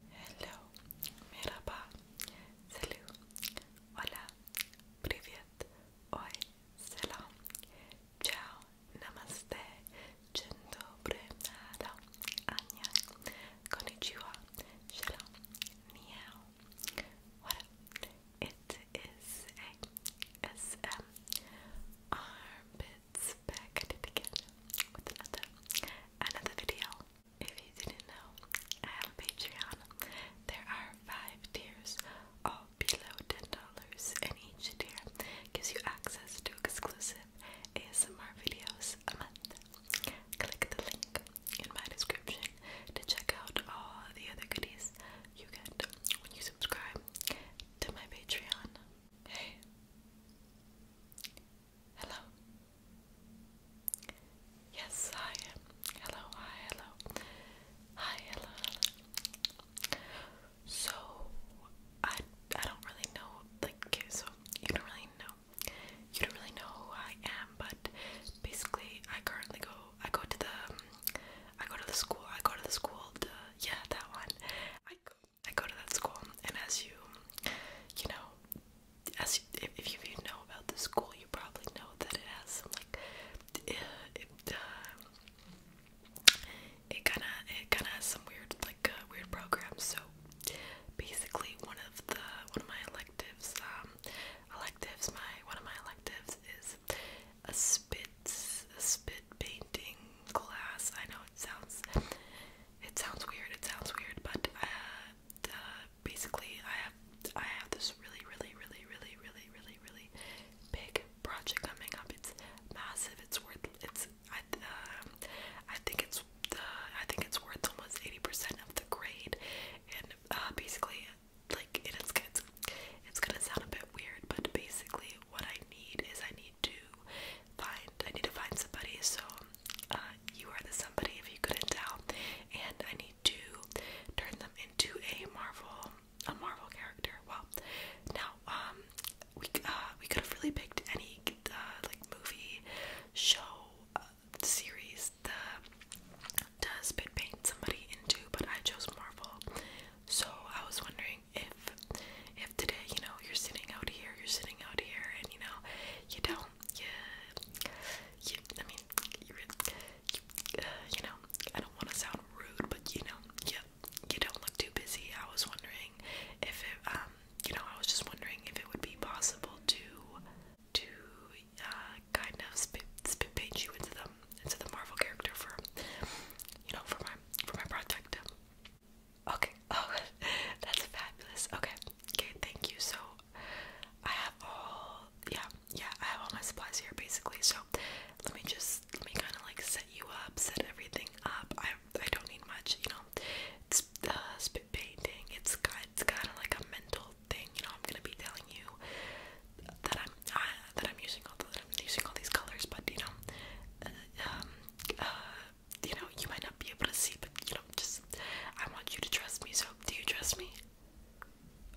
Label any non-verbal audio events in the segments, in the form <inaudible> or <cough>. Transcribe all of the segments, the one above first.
Hello, merhaba, salut, hola, привет, oi, selam, ciao, namaste, dzień dobry, nada, annyeong, konnichiwa, shalom, meow, what up? It is ASM Armpits back again with another, another video. If you didn't know, I have a Patreon. There are five tiers, all below ten dollars, and each tier gives you access to exclusive ASMR videos a month. Click the link in my description to check out all the other goodies you get when you subscribe to my Patreon. Hey, Hello. Yes, hi. Hello, hi, hello. Hi, hello, hello. So I I don't really know like okay, so you don't really know you don't really know who I am, but basically I currently go I go to the um, I go to the school I go to the school to, yeah that one I go I go to that school and as you you know as you, if you know about the school, you probably know that it has some like it uh, it kind of it kind of has some weird like uh, weird programs. So basically, one of the one of my electives, um, electives, my one of my electives is a spit a spit painting class. I know it sounds it sounds weird. It sounds weird, but uh, basically I have I have this really really really really really really really big project coming up. It's massive. It's worth it's I um, think it's I think it's worth almost 80% of the grade and uh, basically like it is it's it's gonna sound a bit weird but basically what I need is I need to find I need to find somebody so uh, you are the somebody if you couldn't tell, and I need to turn them into a Marvel, a Marvel character. Well, now um, we uh, we could have really picked any uh, like movie, show, series that does paint somebody into, but I chose Marvel. So I was wondering if if today, you know, you're sitting out here, you're sitting out here, and you know, you don't well, you, I mean, you, you, uh, know, I don't want to sound rude, but you know, you, you don't look too busy. I was wondering if it, um, you know, I was just wondering if it would be possible to, to, uh, kind of spin, spin paint you into the, into the Marvel character for, you know, for my, for my project. Okay. <laughs> Oh, that's fabulous. Okay. Okay. Thank you so I have all yeah, yeah, I have all my supplies here basically. So let me just let me kinda like set you up, set everything up. I I don't need much, you know. It's the spit painting, it's it's kinda like a mental thing, you know, I'm gonna be telling you that I'm that I'm using all that I'm using all these colors, but you know, uh, um, uh, you know, you might not be able to see, but you know, just I want you to trust me. So, do you trust me?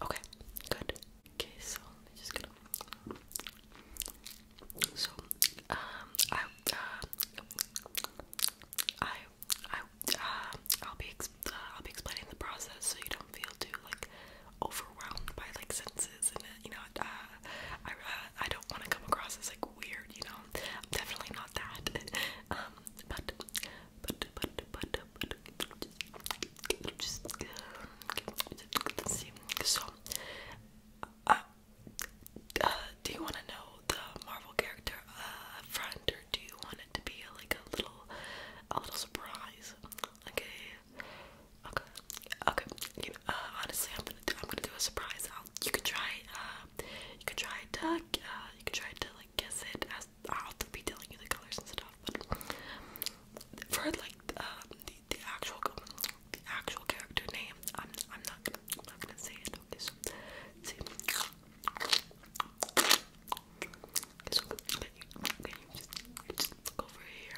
Okay, good. Okay, so I'm just gonna. So, um, I, uh, I, I, uh, I'll be, uh, I'll be explaining the process so you don't feel too like overwhelmed by like senses and you know, uh, I, uh, I don't want to come across as like weird, you know. I'm definitely not that. <laughs> um, but but but but but just, just uh, see. So, uh, uh, do you want to know the Marvel character uh, front, or do you want it to be uh, like a little, a little surprise? Okay, okay, okay. uh, honestly, I'm gonna do, I'm gonna do a surprise. you can try uh, you could try to uh, you could try to like guess it I'll be telling you the colors and stuff. But for like the um, the actual the actual character name, I'm I'm not gonna I'm not gonna say it. see. just, look over here?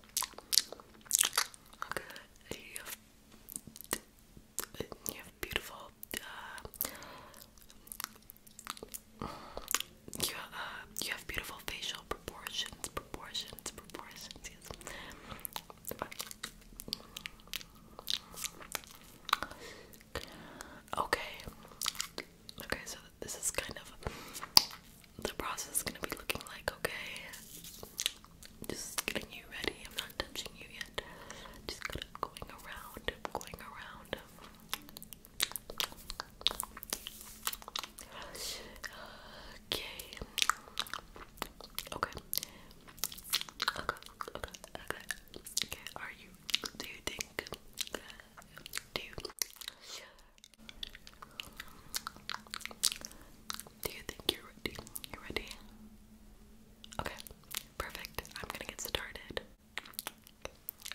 Okay, you have, you have beautiful, uh, you, uh, you have beautiful facial proportions, proportions, proportions, Okay. Okay, so this is kind of the process is gonna be looking like, okay? Just getting you ready. I'm not touching you yet. Just kind of going around, going around. Okay. Okay. Okay. Okay. Okay. Are you? Do you think? do you? Do you think you're ready? You ready? Okay, perfect. I'm gonna get started.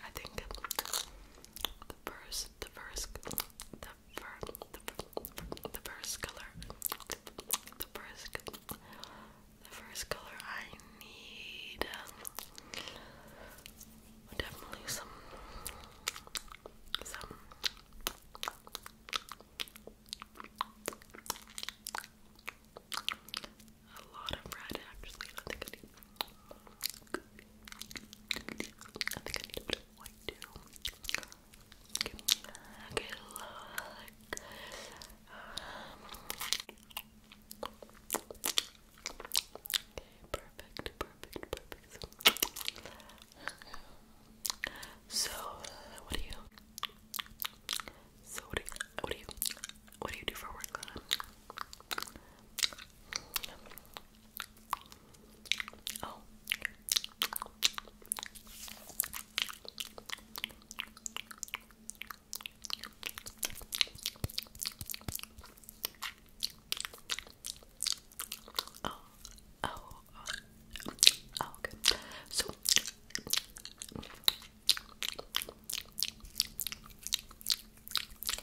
I think the first, the first, the first, the first, color, the first, the first color I need definitely some some a lot of red actually. I think I need I think I need a bit of too. Give me a good look. Um, Okay, perfect, perfect, perfect. So, what do you? So what do What do you? What do you do for work? Oh. Oh, So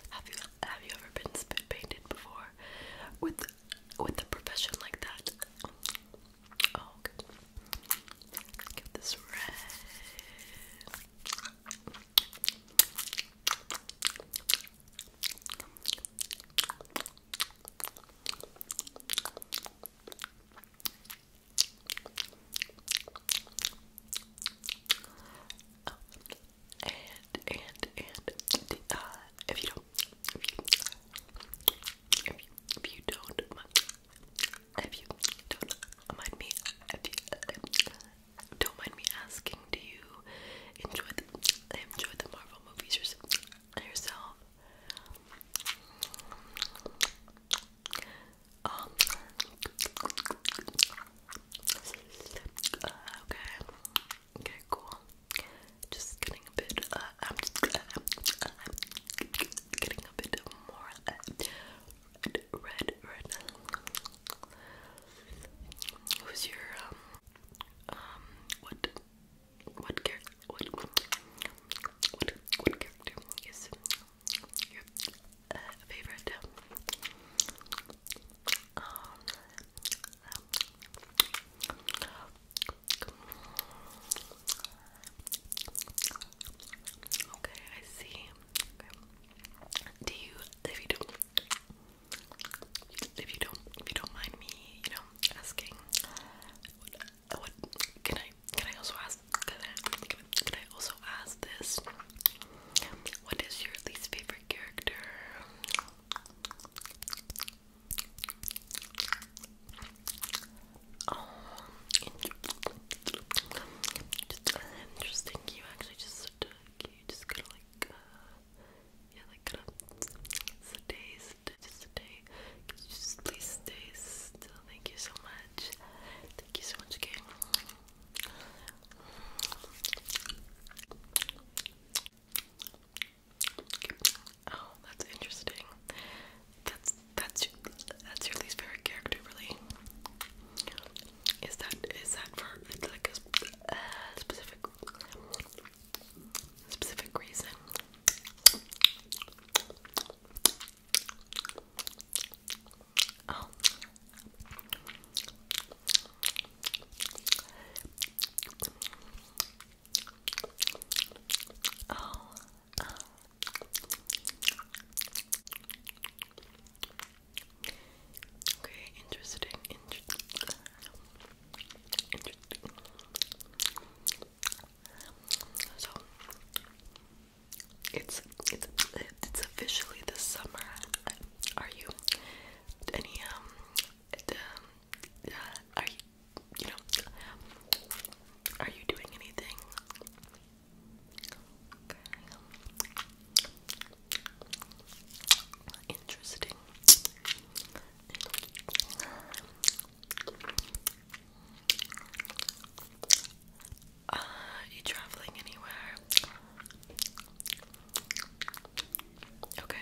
have you have you ever been spit painted before with with a profession like that? Oh, okay. Get this red. Oh, and and and uh, if you don't, if you, if you, don't, if you don't mind me, if you don't mind me asking, do you enjoy enjoy the Marvel movies yourself. Um, uh, okay, okay, cool. Just getting a bit, uh, I'm just, uh, uh, I'm getting a bit more uh, red, red, red. Who's your, um, um, what, what character, what, what, what character is your uh, favorite? Um, um, okay, I see. Okay. Do you, if you do, if you don't if you don't mind me, you know, asking can I can I also ask can I, can I also ask this? What is your least favorite character? Oh, interesting. Uh, you actually just, uh, you just got like, uh, yeah, like kind of stay, stay, stay. Could just please stay Thank you so much. Thank you so much, gang. Oh, that's interesting. That's that's that's your least favorite character, really. Is that is that for like a uh, specific specific reason. Oh. Oh. Uh. Okay, interesting. Inter so it's it's it's officially the summer. Are you any um, uh, are you you know are you doing anything? Interesting. Uh, you traveling anywhere? Okay.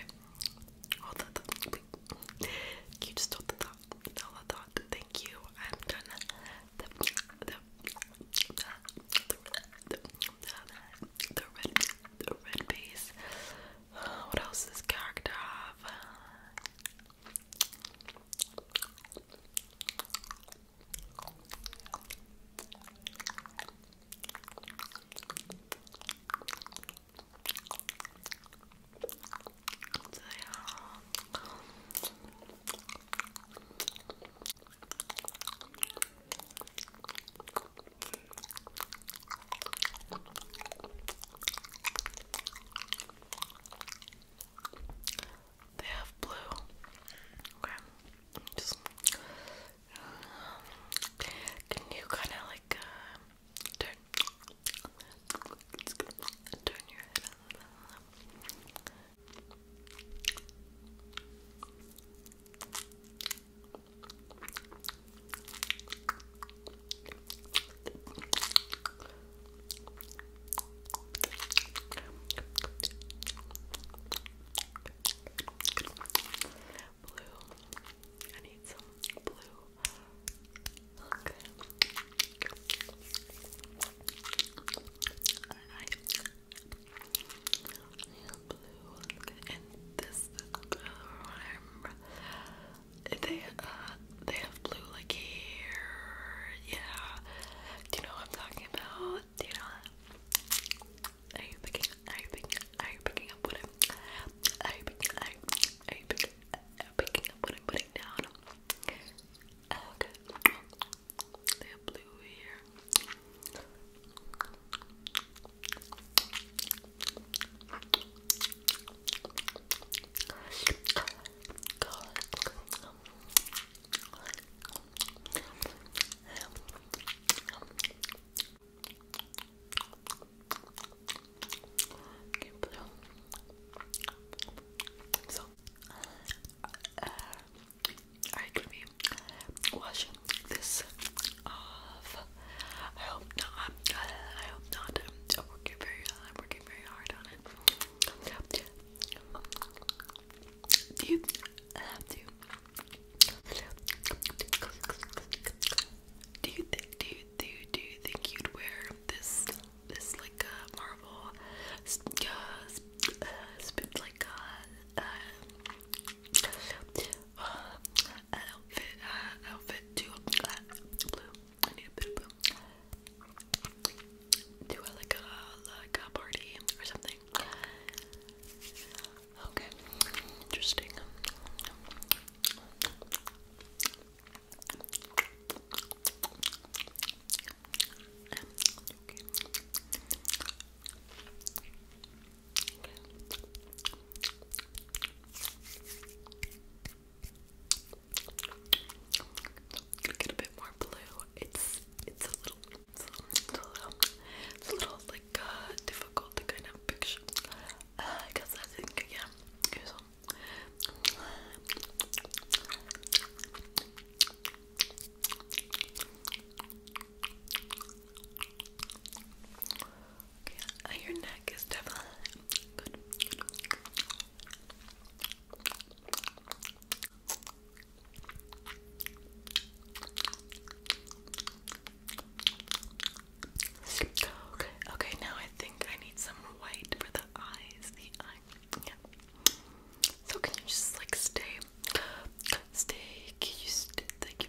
You just told the thought. Tell the thought. Thank you. I'm done. The, the red, the red base. Uh, what else does this character have? They have blue. Okay. can you kind of like uh, turn your head? Blue. I need some blue. Okay. And I blue and this um, they uh, they have blue like here yeah do you know what I'm talking about do you know are you picking are you picking are you picking up what I'm are you picking are you, are you picking up what I'm putting down okay they have blue here so, uh, alright, let me wash this off. I hope not. I hope not. I'm working very. I'm working very hard on it. Do you have to? Do you think? Do you do? You, do you think you'd wear this? This like a uh, marble, uh, sp uh, like a. Uh, uh, uh, uh, outfit, uh, outfit to blue. I need a bit of blue. Do a, like a like a party or something. Okay, interesting. Get a bit more blue. It's it's a little it's a little it's a little, like uh, difficult to kind of picture. Uh, I think yeah. Okay, yeah, your neck is definitely good. Okay, okay, now I think I need some white for the eyes. The eye. Yeah. So can you just like stay stay can you stay like,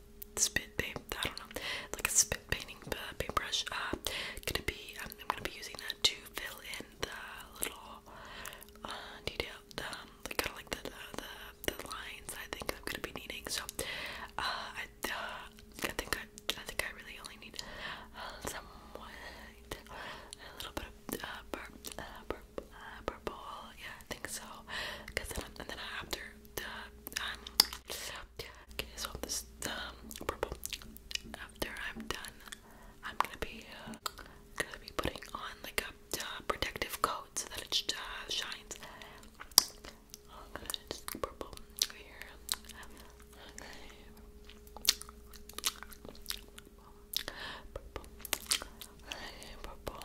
spit, paint. I don't know, like a spit painting uh, paintbrush. Uh, gonna be, I'm, gonna be using that to fill in the little uh, detail, um, kind of like the, the the lines. I think I'm gonna be needing. So, uh, I, uh, think I, I think I really only need uh, somewhat a little bit of uh, uh purple, yeah, I think so. Cause then, and then after um, okay, so this um purple. After I'm done, I'm gonna be uh, gonna be putting on like a uh, protective coat so that it uh, shines. purple here. Purple. Purple. Purple.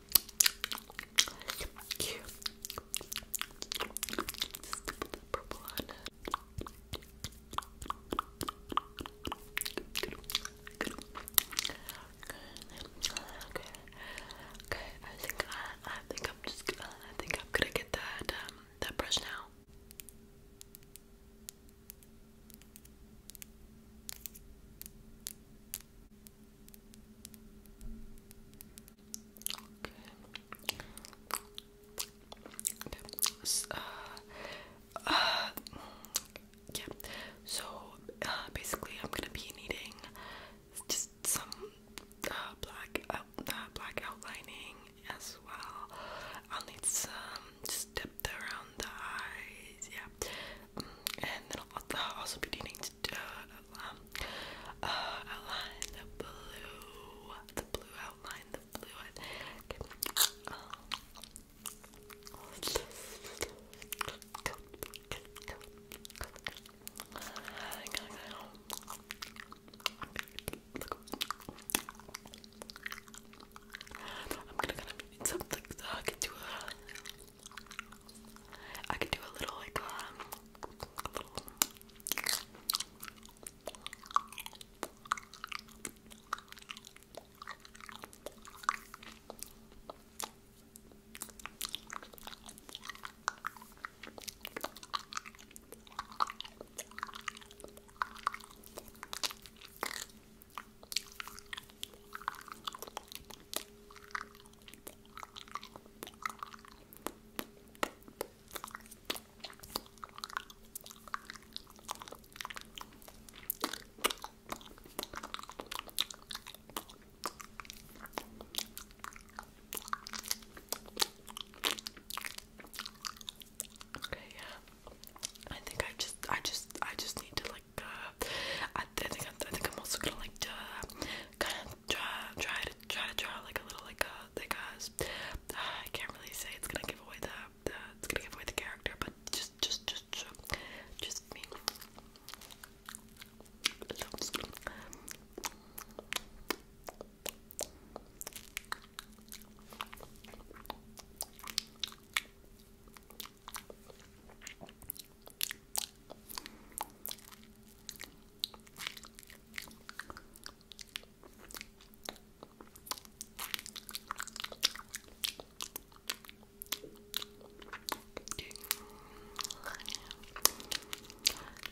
So cute. Okay. Okay. I think I, I think I'm just I think I'm gonna get that that brush now. Okay. Uh, uh So uh, basically, I'm gonna be needing just some uh, black black outlining as well. I'll need some just depth around the eyes, yeah. Mm, and then I'll also be needing um, uh, outline the blue, the blue outline, the blue. I'm gonna, gonna need something so I can do a I could do a little like um Okay, yeah. I think I just, I just, I just need to like. Uh, I, think, I, think I'm also gonna like uh, kind of try try to try to draw like a little like a like a I can't really say it's gonna give away the, the it's gonna give away the character, but just just just just me. Just,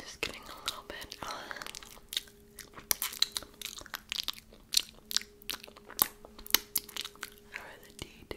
just getting a little bit uh, on. the detail.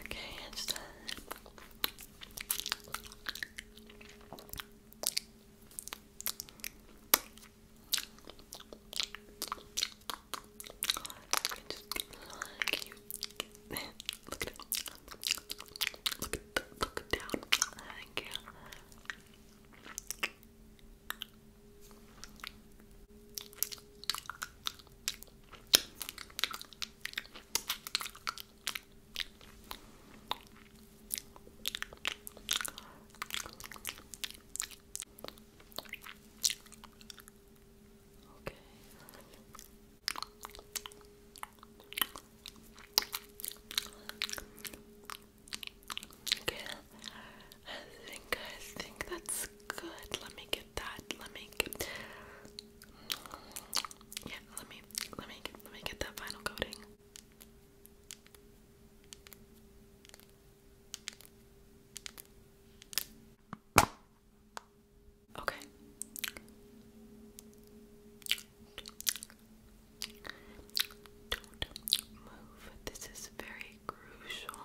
Okay, it's done. look at it. Look at the, look down. Thank you. Okay. Okay. I think I think that's good. Let me get that. Let me get Yeah, let me let me let me get that final coating. Okay. Don't move. This is very crucial.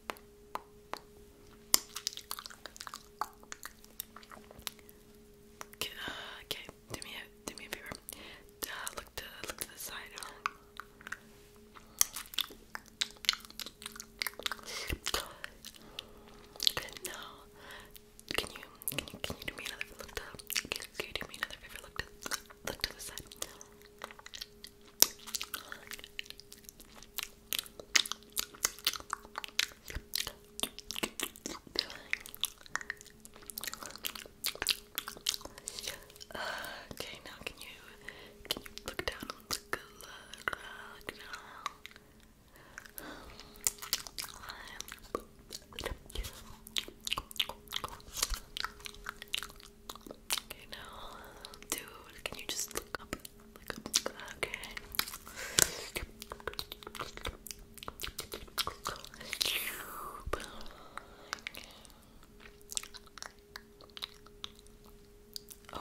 Uh, okay, do me a do me a favor. look to look to the side. Good. Now, can you can you can you do me another look Can you do me another favor? Look to look to the side. Uh, okay, now can you can you look down on the color? Look Okay, now, dude, can you just look up okay.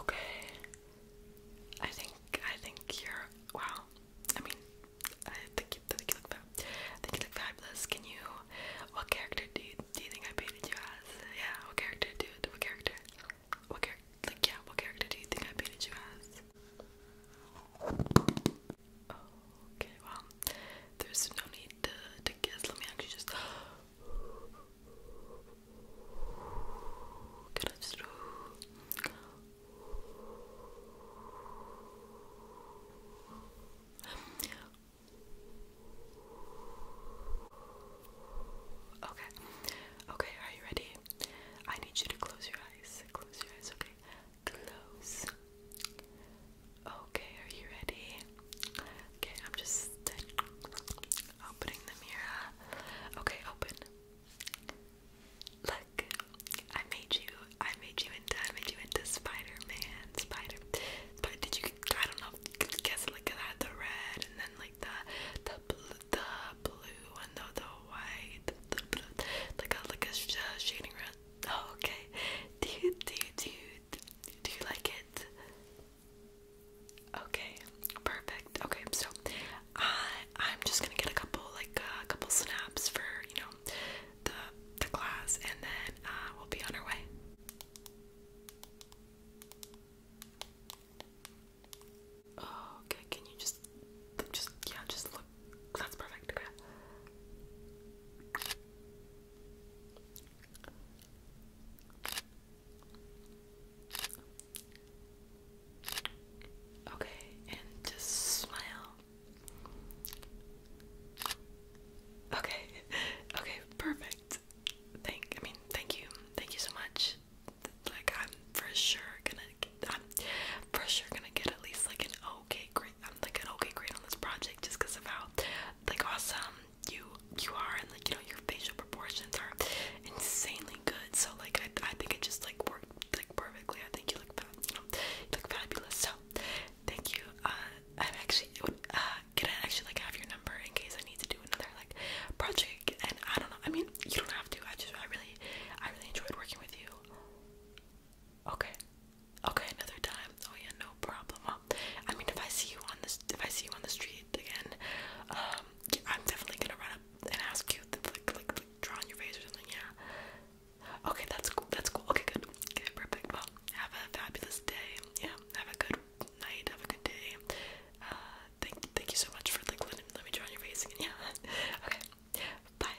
Okay. I think I think you're wow. I mean, I think you, I think you look fabulous. Can you? What character do do you think I painted you as? Yeah. What character, dude? What character? what character, like, yeah, what character do you think I painted you as? Okay, well, there's no need to, to guess. Let me actually just. <gasps> Can I just. <gasps> Okay. Okay, are you ready? I need you to close your eyes. Close your eyes, okay? Close. Okay, are you ready? Okay, I'm just opening the mirror. Okay, open. Look, I made you. I made you into. I made you into Spider-Man. Spider. But did you? I don't know. Guess like that. The red, and then like the the blue, the blue and the, the white, like a like a uh, shading red. Oh, okay. Do do do do you like it? Okay, perfect. Okay, so I I'm just gonna get a couple like uh, a couple snaps for you know the the class, and then uh, we'll be on our way. Oh, okay, can you just, just, yeah, just look. That's perfect, okay. Okay, and just smile. Okay, <laughs> okay, perfect. Thank, I mean, thank you, thank you so much like I'm for sure gonna get, I'm for sure gonna get at least like an okay grade. I'm like an okay grade on this project just because of how like awesome you you are and like you know your facial proportions are insanely good. So like I I think it just like worked like perfectly. I think you look you know, you look fabulous. So thank you. Uh, I'm actually uh can I actually like have your number in case I need to do another like project and I don't know. I mean, you don't have to. I just I really I really enjoyed working with you. Okay. Okay, another time. Oh yeah, no problem. I mean, if I see you on this if I see you on the street again, um I'm definitely going to run up and ask you to like, like like draw on your face or something. Yeah. Okay, that's cool. That's cool. Okay, good. Okay, perfect. Well, have a fabulous day. Yeah. Have a good night. Have a good day. Uh, thank thank you so much for like letting let me draw on your face again. <laughs> Yeah. Okay. Bye.